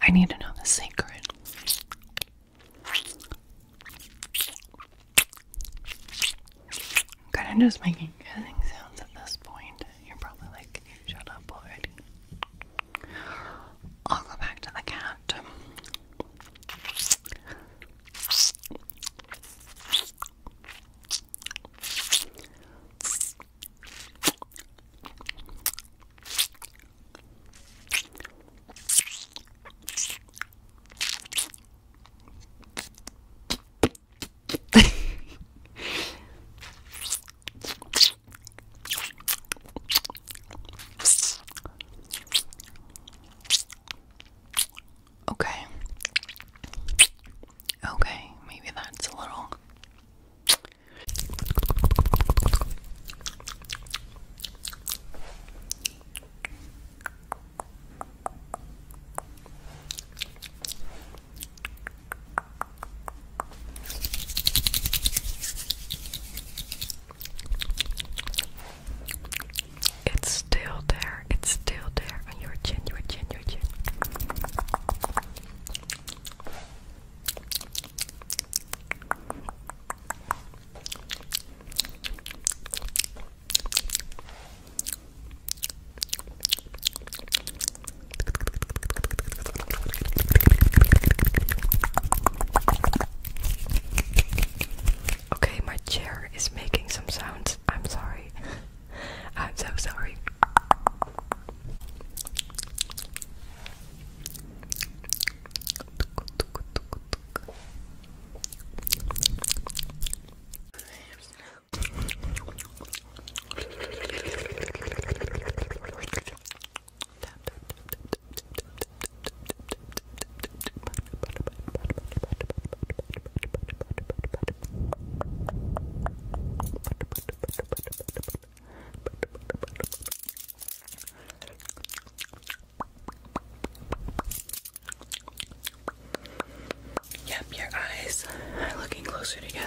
I need to know the secret. I'm just making kissing sounds at this point. You're probably like, shut up already. I'll go back to the cat okay. Okay, maybe that's a little. It's still there. It's still there And your chin, your chin, your chin. Okay, my chair is making some sounds. I'm sorry. I'm so sorry. Yep, your eyes are looking closer together.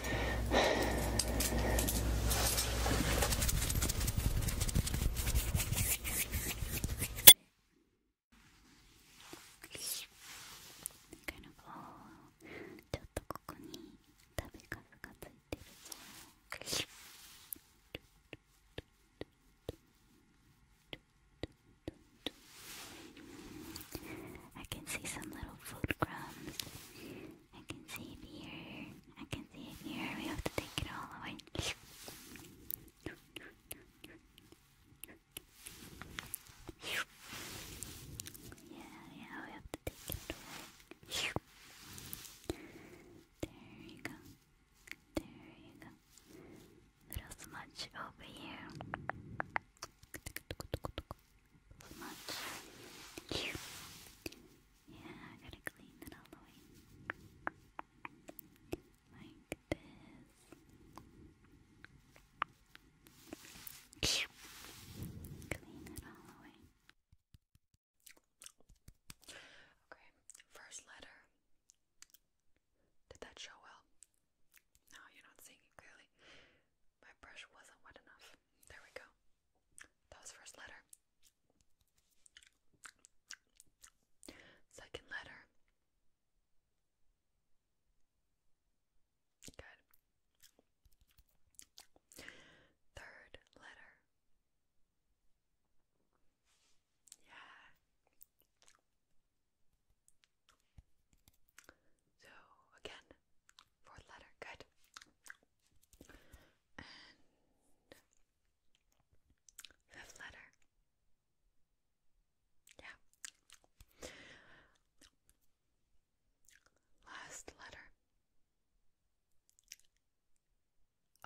kind of I can see some little food crumbs I can see it here. I can see it here. We have to take it all away. Yeah, yeah, we have to take it away. There you go. There you go. Little smudge over here. Smudge. Yeah, gotta clean it all the way. Like this. Clean it all the way. Okay, first letter. Did that show well? No, you're not seeing it clearly. My brush wasn't wet enough. There we go. That was first letter. Second letter. Good. Third letter. Yeah. So again, fourth letter. Good and fifth letter. Yeah. Last letter.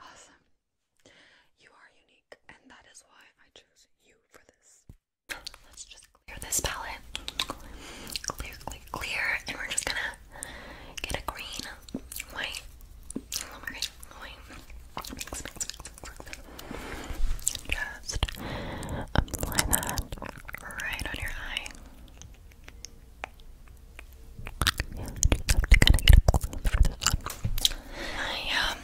Awesome. You are unique, and that is why I chose you for this. Let's just clear this palette. Clear, clear, clear, and we're just gonna Get a green, white, lemon green, white. just apply that right on your eye. Yeah, just have to kind of get a close for this one. I, um,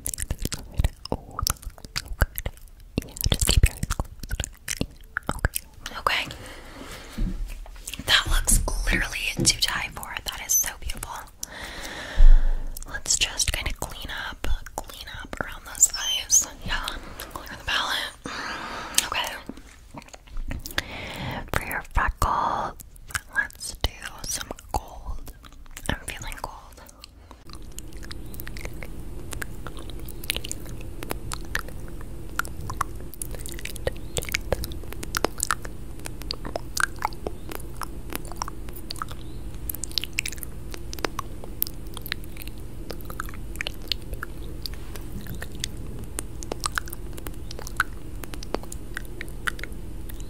that looks okay. Okay. That looks literally too tight for. That is so beautiful. Let's just kind of clean up, clean up around those eyes. Yeah, clear the palette. Okay. For your freckles, let's do some gold. I'm feeling cold.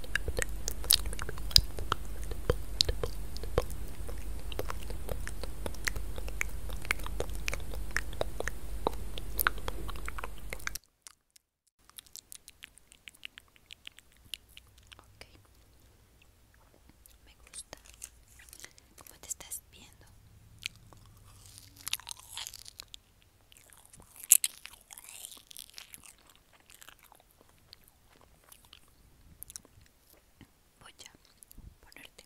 Okay. Me gusta cómo te estás viendo voy a ponerte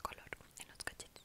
color en los cachetes